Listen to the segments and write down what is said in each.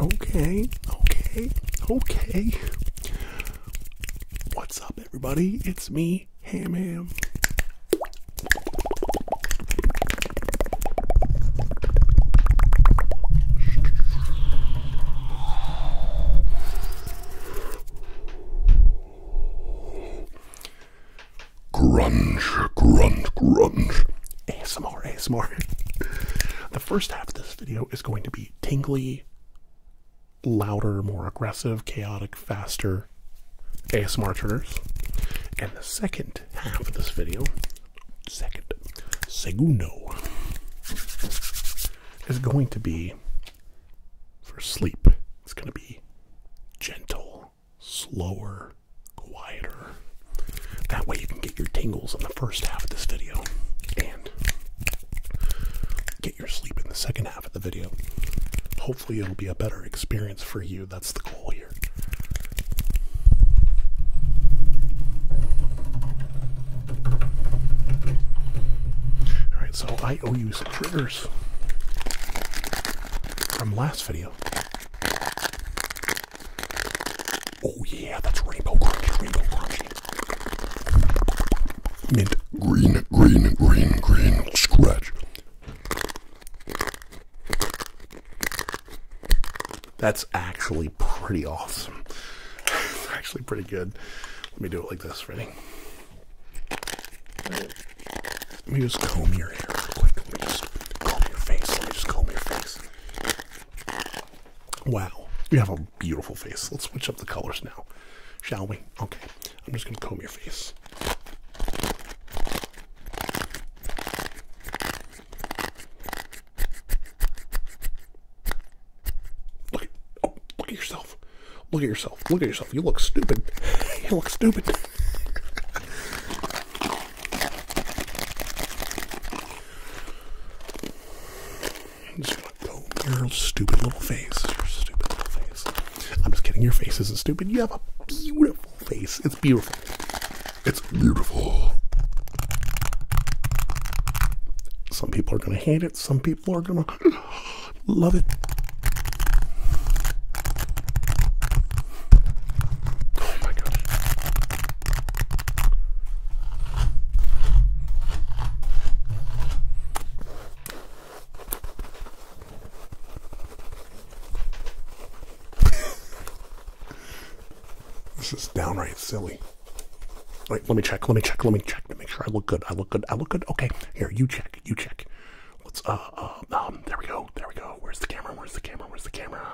Okay, okay, okay. What's up, everybody? It's me, Ham Ham grunge, grunge, grunge. ASMR, ASMR. the first half of this video is going to be tingly, louder, more aggressive, chaotic, faster ASMR triggers. And the second half of this video, second, segundo, is going to be for sleep. It's going to be gentle slower, quieter. That way you can get your tingles in the first half of this video and get your sleep in the second half of the video. Hopefully, it'll be a better experience for you. That's the goal here. Alright, so I owe you some triggers from last video. Oh yeah, that's rainbow crunchy, rainbow crunchy. Mint green, green, green, green scratch. That's actually pretty awesome. actually pretty good. Let me do it like this, ready? Let me just comb your hair real quick. Let me just comb your face. Let me just comb your face. Wow, you have a beautiful face. Let's switch up the colors now, shall we? Okay, I'm just gonna comb your face. Look, oh, look at yourself. Look at yourself. Look at yourself. You look stupid. You look stupid. just stupid little face. I'm just kidding. Your face isn't stupid. You have a beautiful face. It's beautiful. It's beautiful. Some people are going to hate it. Some people are going to love it. Oh my gosh. this is downright silly. Wait, let me check, let me check, let me check to make sure I look good. I look good, I look good. Okay, here, you check, you check. Let's, uh, um, there we go, there we go. Where's the camera? Where's the camera? Where's the camera?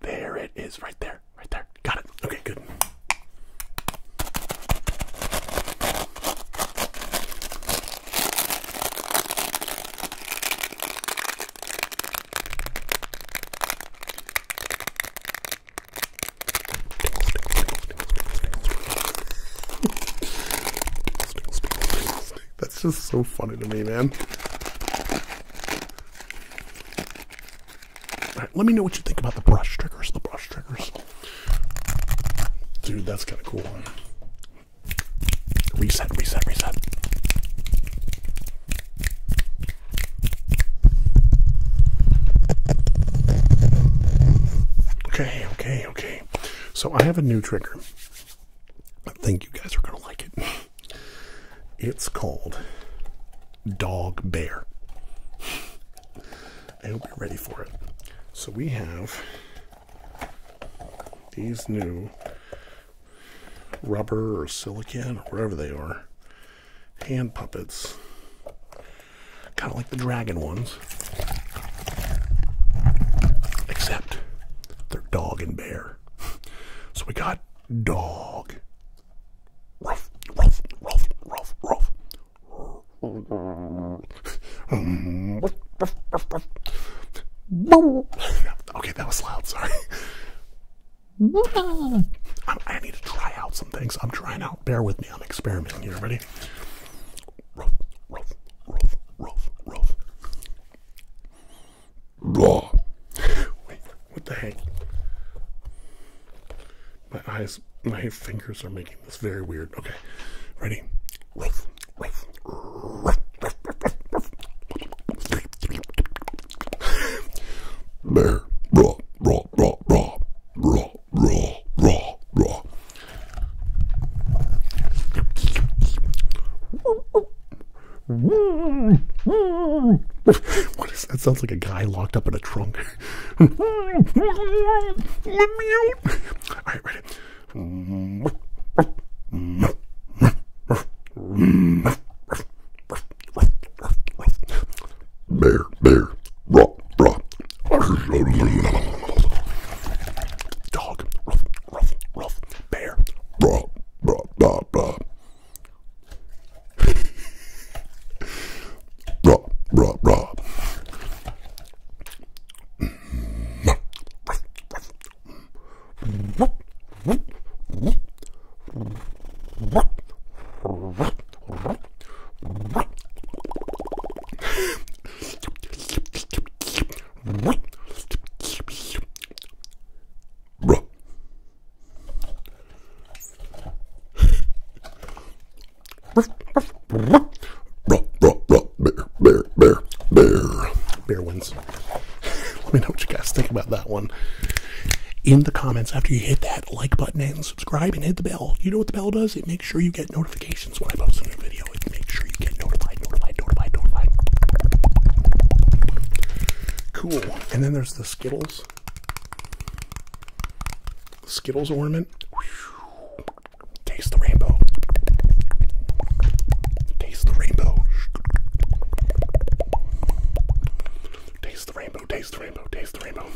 There it is, right there, right there. Got it. Okay, good. That's just so funny to me, man. All right, let me know what you think about the brush triggers. The brush triggers. Dude, that's kind of cool. Reset, reset, reset. Okay, okay, okay. So I have a new trigger. I think you guys are going to like it. It's called Dog Bear. I hope you're ready for it. So we have these new rubber or silicone or wherever they are hand puppets. Kind of like the dragon ones. Except they're dog and bear. So we got dog. okay, that was loud. Sorry. i need to try out some things. I'm trying out. Bear with me. I'm experimenting here. Ready? Raw. Wait, what the heck? My eyes, my fingers are making this very weird. Okay, ready? Ruff, raw, raw, raw, raw, raw, raw, raw, raw. What is that? Sounds like a guy locked up in a trunk. All right, ready. Bear, bear, rock, rock. Dog rough, rough, bear, blah, blah, blah, blah. Blah, blah, blah. Bear, bear, bear, bear. Bear wins. Let me know what you guys think about that one. In the comments after you hit that like button and subscribe and hit the bell. You know what the bell does? It makes sure you get notifications when I post a new video. Cool. And then there's the Skittles. Skittles ornament. Whew. Taste the rainbow. Taste the rainbow. Taste the rainbow. Taste the rainbow. Taste the rainbow.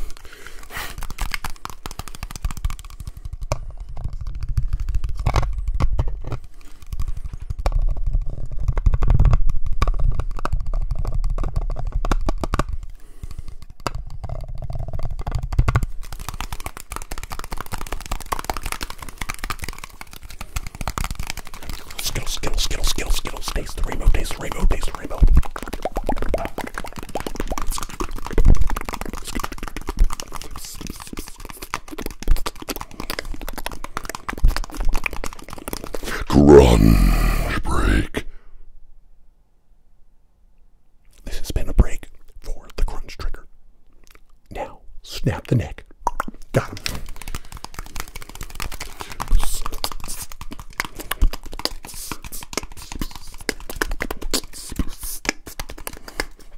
Skittles, Skittles, Skittles, Skittles, Skittles, taste the rainbow, taste the rainbow, taste the rainbow. Grunge break. This has been a break for the crunch trigger. Now, snap the neck. Got him.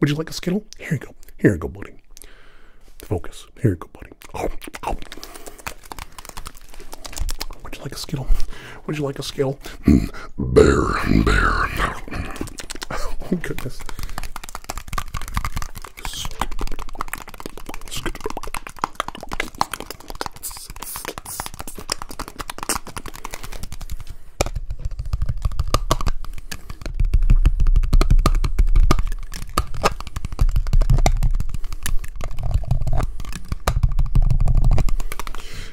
Would you like a Skittle? Here you go. Here you go, buddy. Focus. Here you go, buddy. Oh, oh. Would you like a skittle? Would you like a skittle? Mm, bear, bear. oh goodness.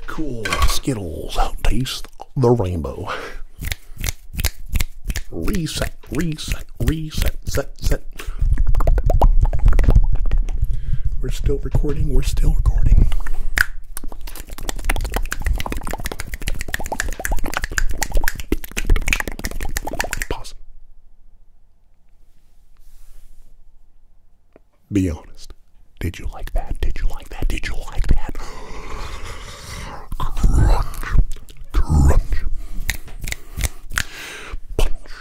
Cool Skittles taste the rainbow. Reset, reset, reset, set, set. We're still recording, we're still recording. Pause. Be honest. Did you like that? Did you like that? Did you like that? Crunch. Crunch. Punch.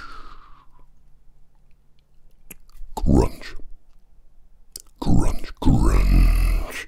Crunch. Crunch. Crunch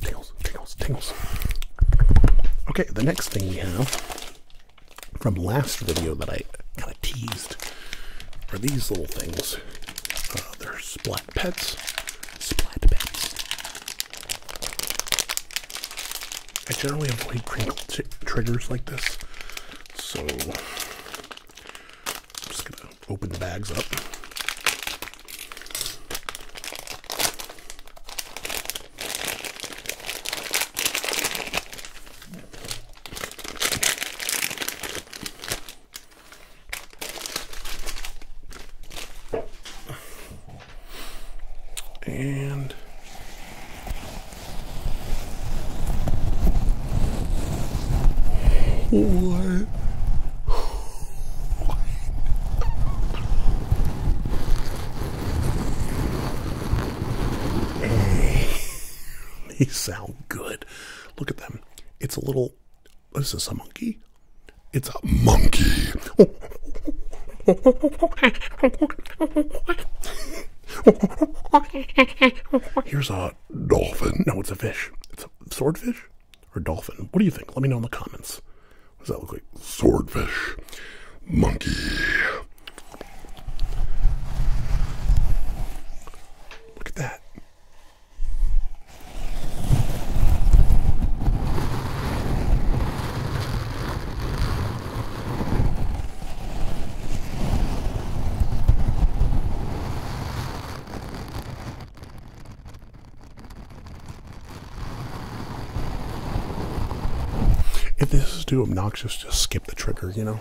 Tingles, tingles, tingles. Okay, the next thing we have from last video that I kind of teased are these little things. Uh, they're splat pets. Splat pets. I generally avoid crinkle triggers like this, so I'm just gonna open the bags up. And what? they sound good. Look at them. It's a little. Is this a monkey? It's a monkey. Here's a dolphin. No, it's a fish. It's a swordfish or dolphin. What do you think? Let me know in the comments. What does that look like? Swordfish. Monkey. Look at that. If this is too obnoxious, just skip the trigger, you know?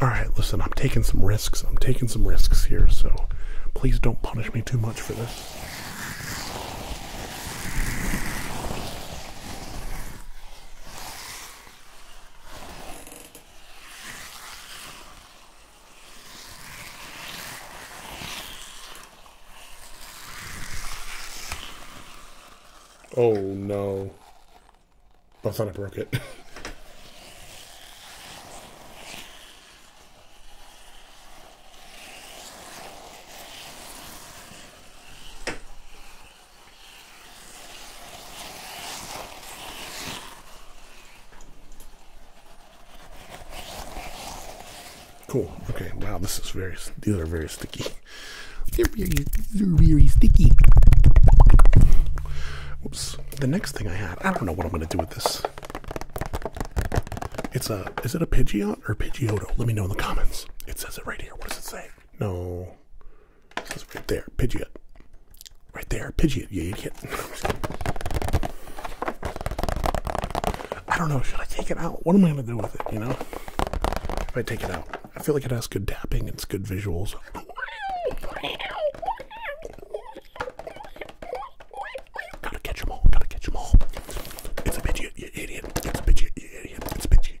All right, listen, I'm taking some risks. I'm taking some risks here, so please don't punish me too much for this. Oh no. I thought I broke it. Cool. Okay. Wow. This is very. These are very sticky. They're very. They're very sticky. Oops. The next thing I had. I don't know what I'm gonna do with this. It's a. Is it a Pidgeot or Pidgeotto? Let me know in the comments. It says it right here. What does it say? No. That's right there. Pidgeot. Right there. Pidgeot, you idiot. I don't know. Should I take it out? What am I going to do with it, you know? If I take it out, I feel like it has good tapping. It's good visuals. Gotta catch all. Gotta catch all. It's a Pidgeot, you idiot. It's a Pidgeot, you idiot. It's a Pidgeot.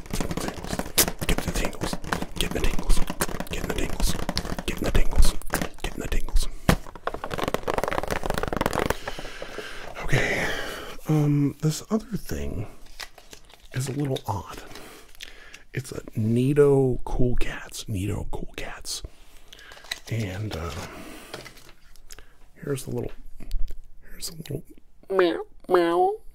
getting the tingles, getting the tingles, getting the tingles, getting the tingles, getting the tingles. Okay, um, this other thing is a little odd. It's a Nido Cool Cats, Nido Cool Cats, and uh, here's the little, here's a little meow meow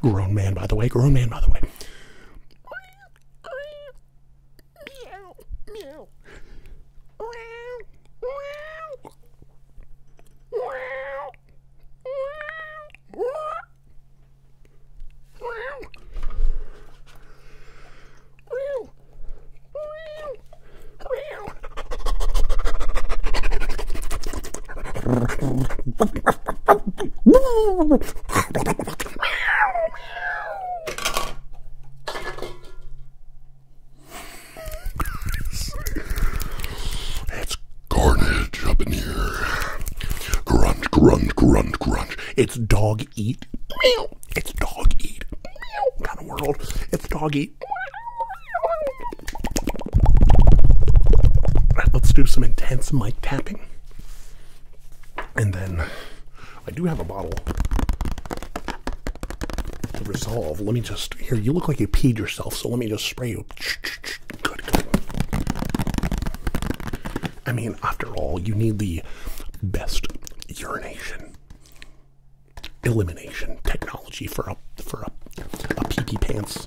grown man, by the way. Grown man, by the way. It's carnage up in here. Grunt, grunt, grunt, grunt. It's dog eat. It's dog eat. Kind of world. It's dog eat let's do some intense mic tapping. And then I do have a bottle to resolve. Let me just, here, you look like you peed yourself, so let me just spray you. I mean, after all, you need the best urination elimination technology for a for a, a pants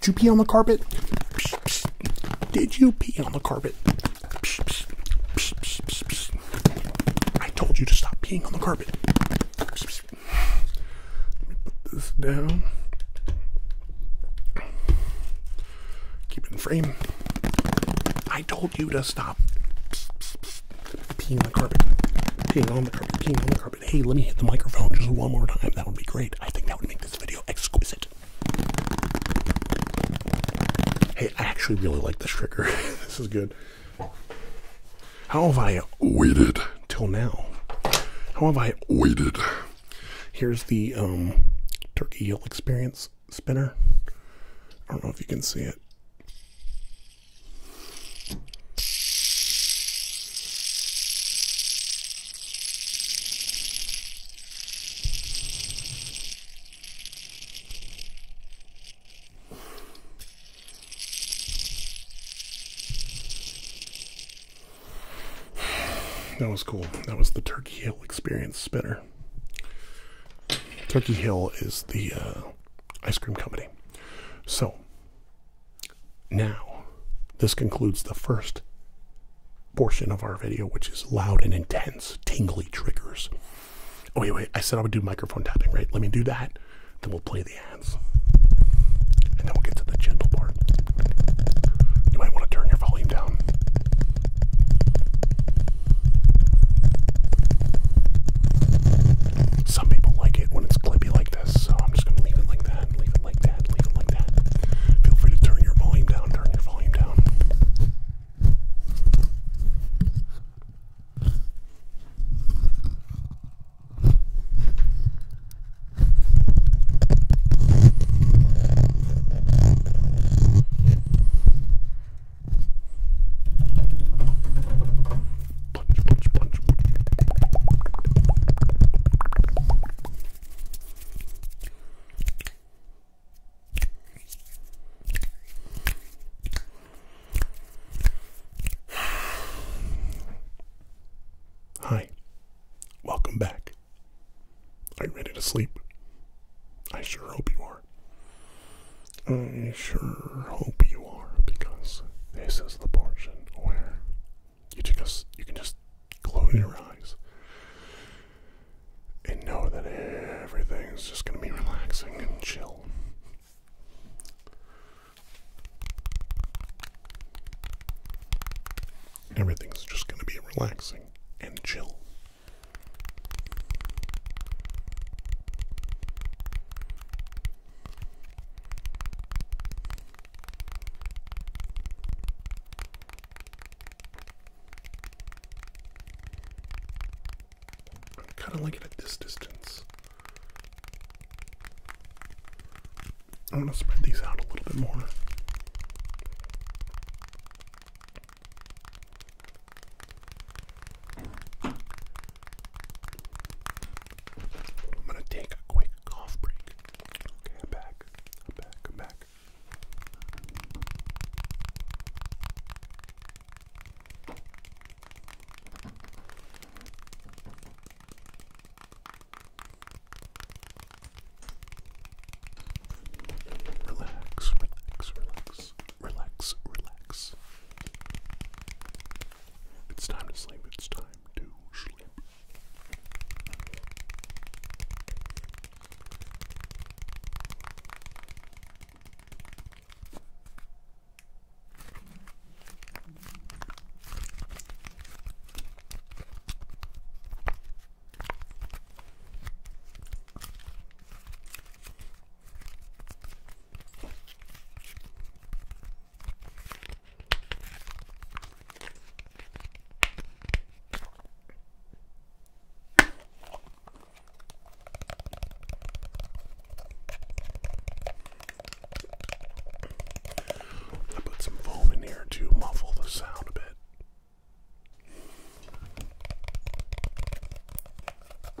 Did you pee on the carpet? Did you pee on the carpet? I told you to stop peeing on the carpet. put this down. Keep it in frame. I told you to stop peeing on the carpet, peeing on the carpet, peeing on the carpet. Hey, let me hit the microphone just one more time. That would be great. I think that would make this video exquisite. Hey, I actually really like this trigger. this is good. How have I waited till now? How have I waited? Here's the um, turkey eel experience spinner. I don't know if you can see it. That was cool. That was the Turkey Hill Experience spinner. Turkey Hill is the uh, Ice Cream Company. So, now, this concludes the first portion of our video, which is loud and intense, tingly triggers. Oh, wait, wait, I said I would do microphone tapping, right? Let me do that, then we'll play the ads. And then we'll get to the gentle part. You might want to turn your volume down. Some people like it when it's clippy like this, so I'm just gonna leave it like that, leave it like that, leave it like that. Feel free to turn your volume down, turn your volume down. Hi, welcome back. Are you ready to sleep? I sure hope you are. I sure hope you are, because this is the portion where you just you can just close your eyes and know that everything is just gonna be relaxing and chill. Everything's just gonna be relaxing and chill. I kind of like it at this distance. I want to spread these out a little bit more. I'm gonna take a quick cough break. I'm back. I'm back. I'm back. Relax, relax, relax relax, relax, It's time to sleep, it's time to sleep. I put some foam in here to muffle the sound a bit.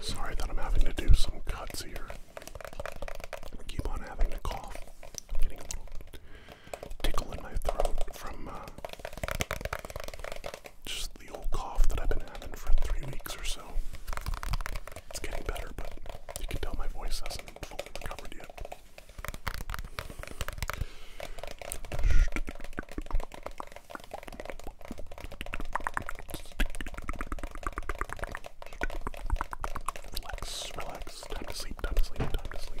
Sorry that I'm having to do some cuts here. keep on having to cough tickle in my throat from uh, just the old cough that I've been having for three weeks or so. It's getting better, but you can tell my voice hasn't fully recovered yet. Relax, relax. Time to sleep, time to sleep, time to sleep.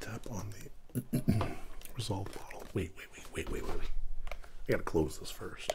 Tap on the resolve bottle. Wait, wait, wait, wait, wait, wait, I gotta close this first.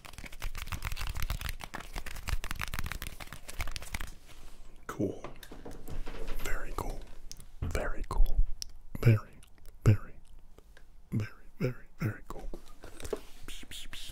Cool. Very cool. Very cool. Very, very, very, very, very cool. Psh, psh, psh.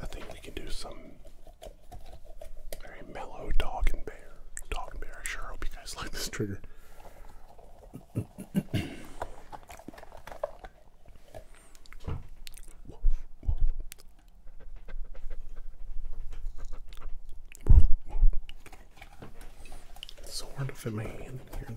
I think we can do some very mellow dog and bear. Dog and bear. I sure hope you guys like this trigger. It's so hard to fit my hand in here.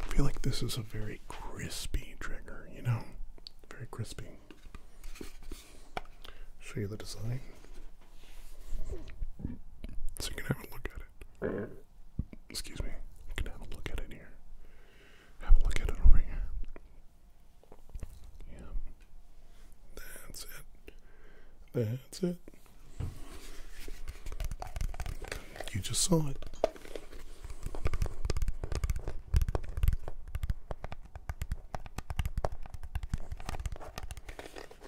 I feel like this is a very crispy trigger, you know? Very crispy. Show you the design. So you can have a look at it. Excuse me. You can have a look at it here. Have a look at it over here. Yeah. That's it. That's it. You just saw it.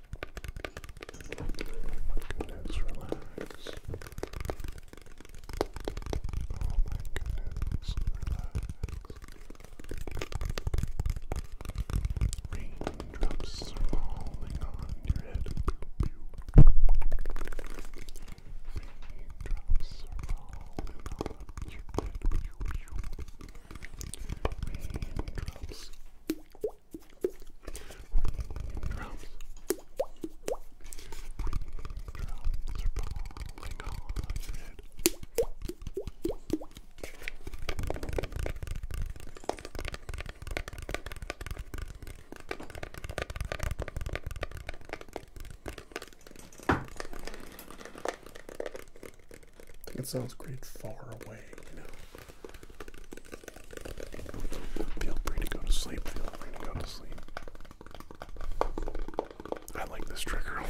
goodness, relax. Oh my goodness, relax. Raindrops falling on your head. Raindrops falling on your head. Raindrops. Raindrops it sounds great far away, you know. Feel free to go to sleep. Feel free to go to sleep. I like this trigger a lot.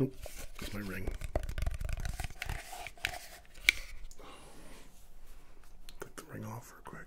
Oh, it's my ring. Click the ring off real quick.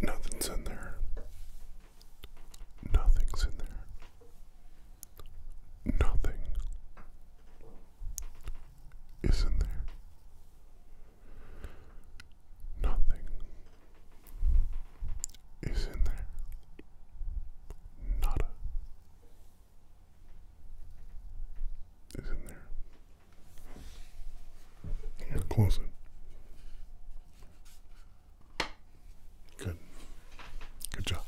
Nothing's in there. Nothing's in there. Nothing is in there. Nothing is in there. Nada is in there close it. Good. Good job.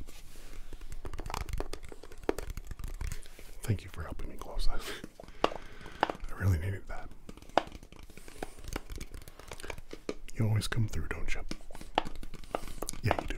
Thank you for helping me close that. I really needed that. You always come through, don't you? Yeah, you do.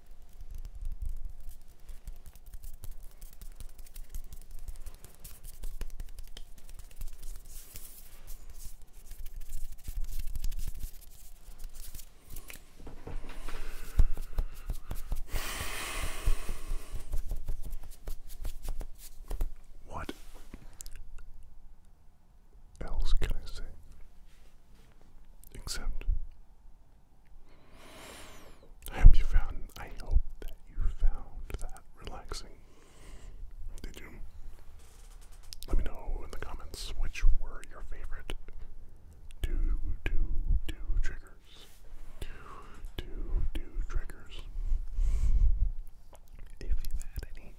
What else can I say? Except I hope you found I hope that you found that relaxing. Did you? Let me know in the comments which were your favorite do do do triggers. Do do triggers. If you had any.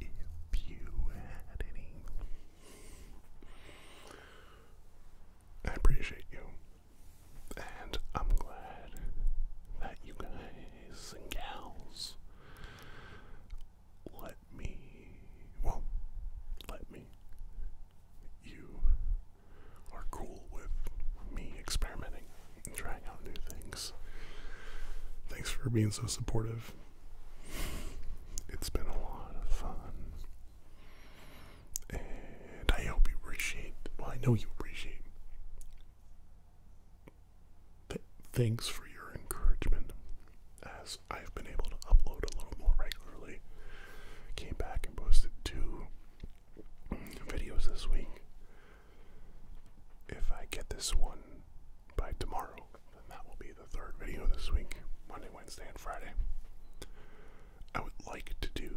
If you had any. I appreciate you. And I'm glad that you guys and gals let me, well, let me. You are cool with me experimenting and trying out new things. Thanks for being so supportive. It's been a lot of fun. And I hope you appreciate, well, I know you appreciate Thanks for your encouragement as I've been able to upload a little more regularly. Came back and posted two videos this week. If I get this one by tomorrow, then that will be the third video this week Monday, Wednesday, and Friday. I would like to do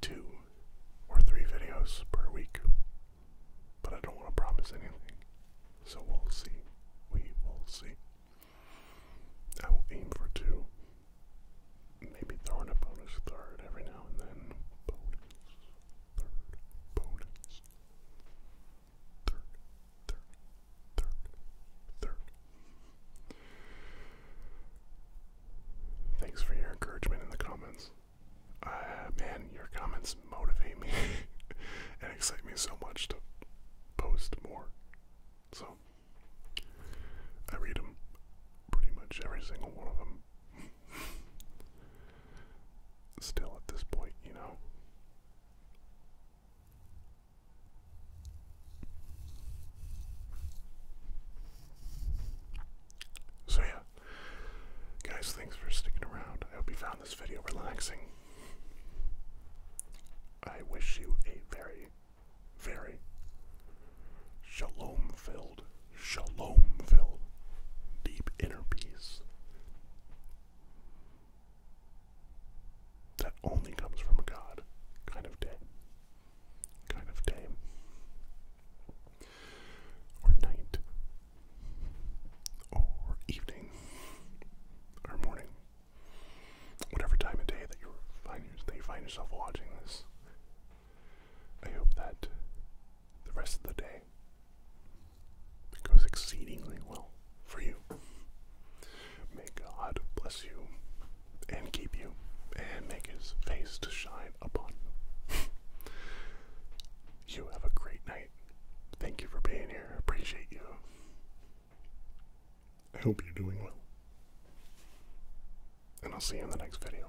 two or three videos per week, but I don't want to promise anything. So we'll see. We will see. I will aim for two. Maybe throw in a bonus third every now and then. Thanks for your encouragement in the comments. Uh, man, your comments motivate me and excite me so much to post more. So, I read them pretty much every single one of them. Still, at this point, you know, so yeah, guys, thanks for sticking around. I hope you found this video relaxing. I wish you a very, very shalom-filled, shalom-filled, deep inner peace that only comes from a god kind of day. Kind of day. Or night. Or evening. Or morning. Whatever time of day that you find yourself watching this. I hope that the rest of the day goes exceedingly well for you. May God bless you and keep you and make his face to shine upon you. you have a great night. Thank you for being here. Appreciate you. I hope you're doing well. And I'll see you in the next video.